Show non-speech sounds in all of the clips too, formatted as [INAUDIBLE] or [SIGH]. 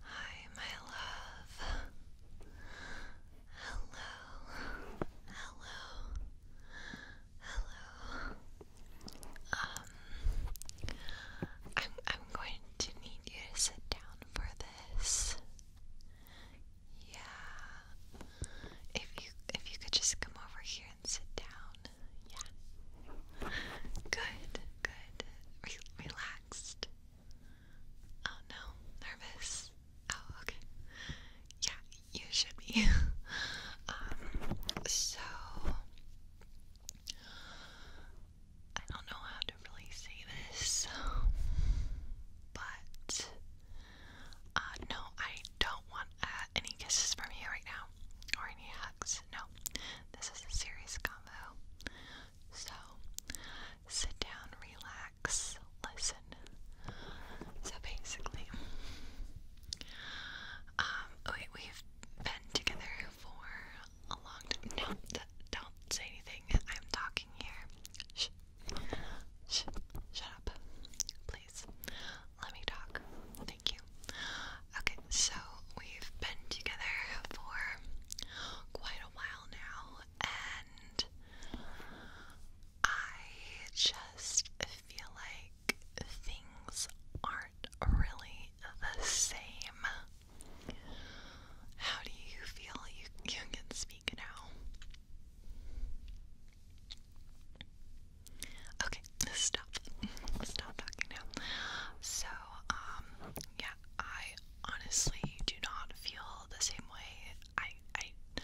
Hi, my love. Hello. Hello. Hello. Um I'm I'm going to need you to sit down for this. Yeah. If you if you could just come over here and sit down. Yeah. Good, good. relaxed. Oh no, nervous. Oh, okay. Yeah, you should be. [LAUGHS] um, so I don't know how to really say this, but uh, no, I don't want uh, any kisses from you right now or any hacks. No, this is a serious combo. So sit down, relax, listen. So basically, um, we, we've been together for a long time. No, don't say anything. I'm talking here. Shh. Shh. Shut up, please. Let me talk. Thank you. Okay, so we've been together for quite a while now, and I just feel like things aren't really the same. How do you feel? You, you can speak now. Okay, stop. Stop talking now. So, um, yeah, I honestly do not feel the same way. I, I,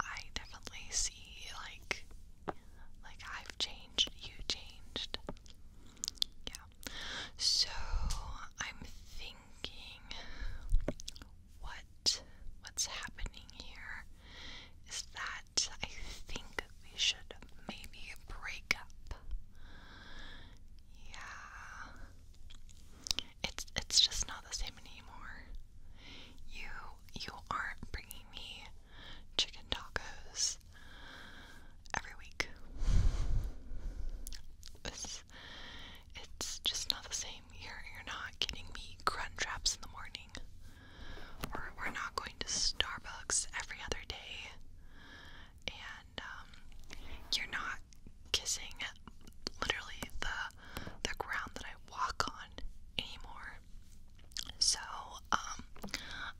I definitely see like, like I've changed, you changed. Yeah. So I'm thinking, what, what's happening here is that I think we should maybe break up. Yeah. It's it's just not the same anymore. You you aren't bringing me chicken tacos every week. It's, it's just not the same. you you're not getting me crunch wraps in the morning we're not going to Starbucks every other day. And um, you're not kissing literally the the ground that I walk on anymore. So um,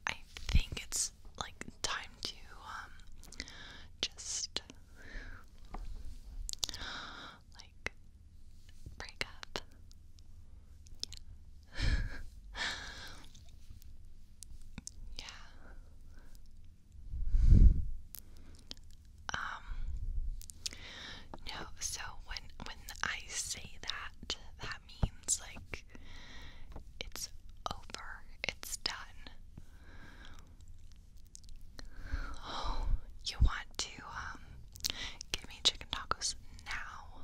I think it's like time to um, just like break up. [LAUGHS] yeah. Um no, so when when I say that, that means like it's over. It's done. Oh, you want to um give me chicken tacos now?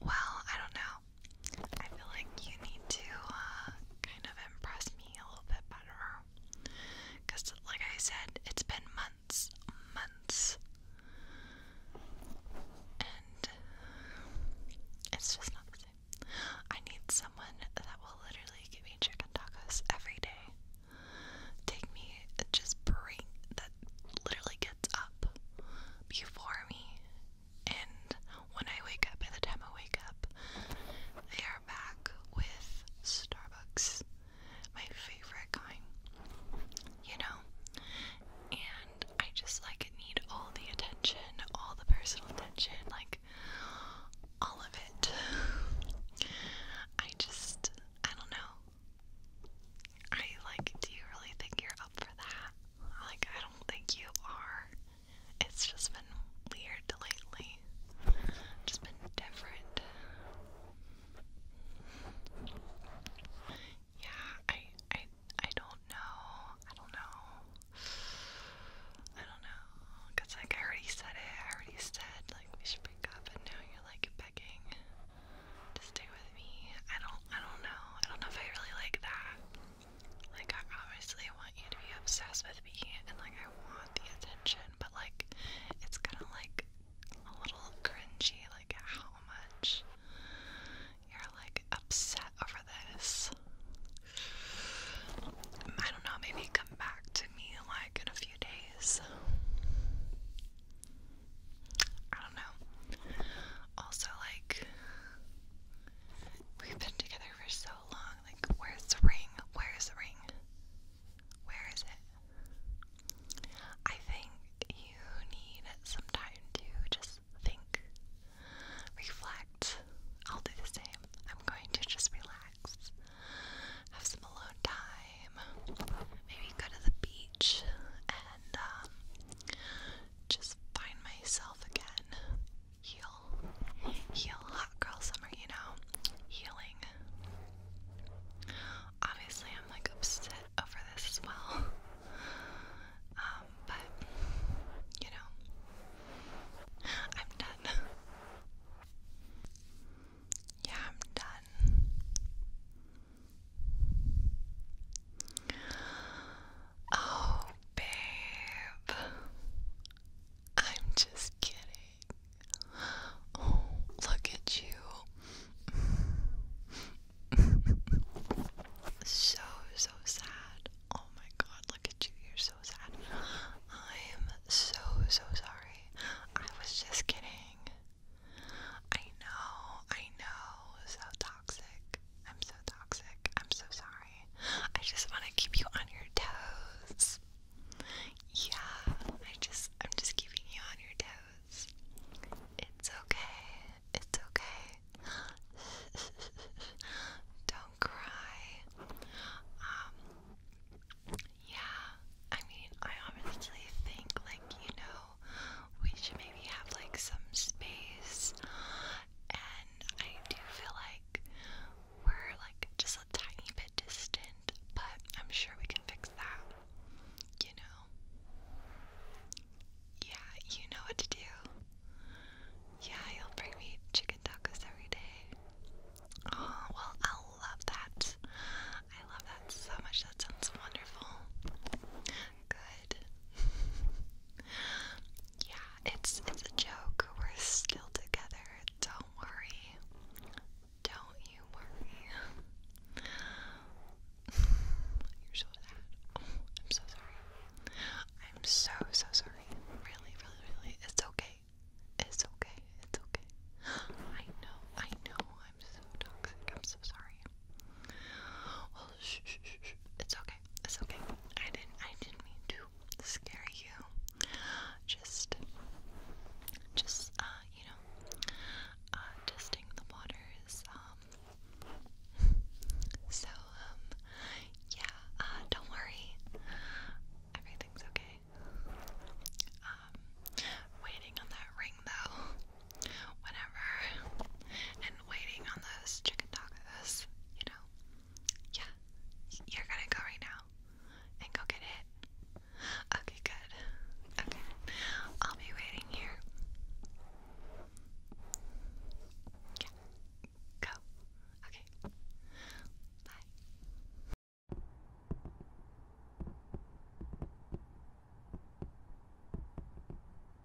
Well, I don't know. I feel like you need to uh, kind of impress me a little bit better. Because, like I said, it's been months, months. And it's just not the same. I need someone that will literally give me chicken tacos every day. Take me, just bring that, literally up before me, and when I wake up, by the time I wake up, they are back with Starbucks, my favorite kind, you know? And I just like it. need all the attention, all the personal attention, like all of it. I just, I don't know. Are you like, do you really think you're up for that? Like, I don't think you are. It's just been weird lately. Just been different. Yeah, I, I, I don't know. I don't know. I don't know. Cause like I already said it. I already said like we should break up, and now you're like to stay with me. I don't I don't know. I don't know if I really like that. Like I want you to be obsessed with me and like I want the attention, but like it's kinda like a little cringy, like how much you're like upset over this. I don't know, maybe come back to me like in a few days. I don't know. Also, like, we've been together for so long. Like, where's the ring? Where's the ring? Where is it? I think you need some time to just think, reflect. I'll do the same. I'm going to just relax, have some alone time, maybe go to the beach and um, just find myself again. Heal. Heal. Hot girl summer, you know? Healing. Obviously, I'm like upset over this as well. [LAUGHS] Um, but, you know, I'm done. Yeah, I'm done. Oh, babe. I'm just kidding. Oh, look at you. so, so sad. Oh my god, look at you. You're so sad. I'm so, so sorry. I was just kidding. I know, I know. So toxic. I'm so toxic. I'm so sorry. I just want to keep you on your toes. Yeah, I just I'm just keeping you on your toes. It's okay. It's okay. [LAUGHS] Don't cry. Um yeah, I mean, I honestly think like, you know, we should maybe have like some space. And I do feel like we're like just a tiny bit distant, but I'm sure we can fix that. You know? Yeah, you know what to do. Yeah, you'll bring me chicken tacos every day. Oh, well, I love that. I love that so much. That sounds wonderful good. [LAUGHS] yeah, it's it's a joke. We're still together. Don't worry. Don't you worry. [LAUGHS] You're so sad. I'm so sorry. I'm so so sorry. Really, really, really. It's okay. It's okay. It's okay. [GASPS] I know. I know. I'm so toxic. I'm so sorry. shh, shh, shh, shh. It's okay. It's okay. I didn't. I didn't mean to scare you. Just, just uh, you know, uh, testing the waters. Um. [LAUGHS] So um, yeah. Uh, don't worry. Everything's okay. Um, waiting on that ring though whatever, and waiting on those chicken tacos, you know? Yeah, you're gonna go right now and go get it. Okay, good. Okay, I'll be waiting here. Yeah, go. Okay, bye.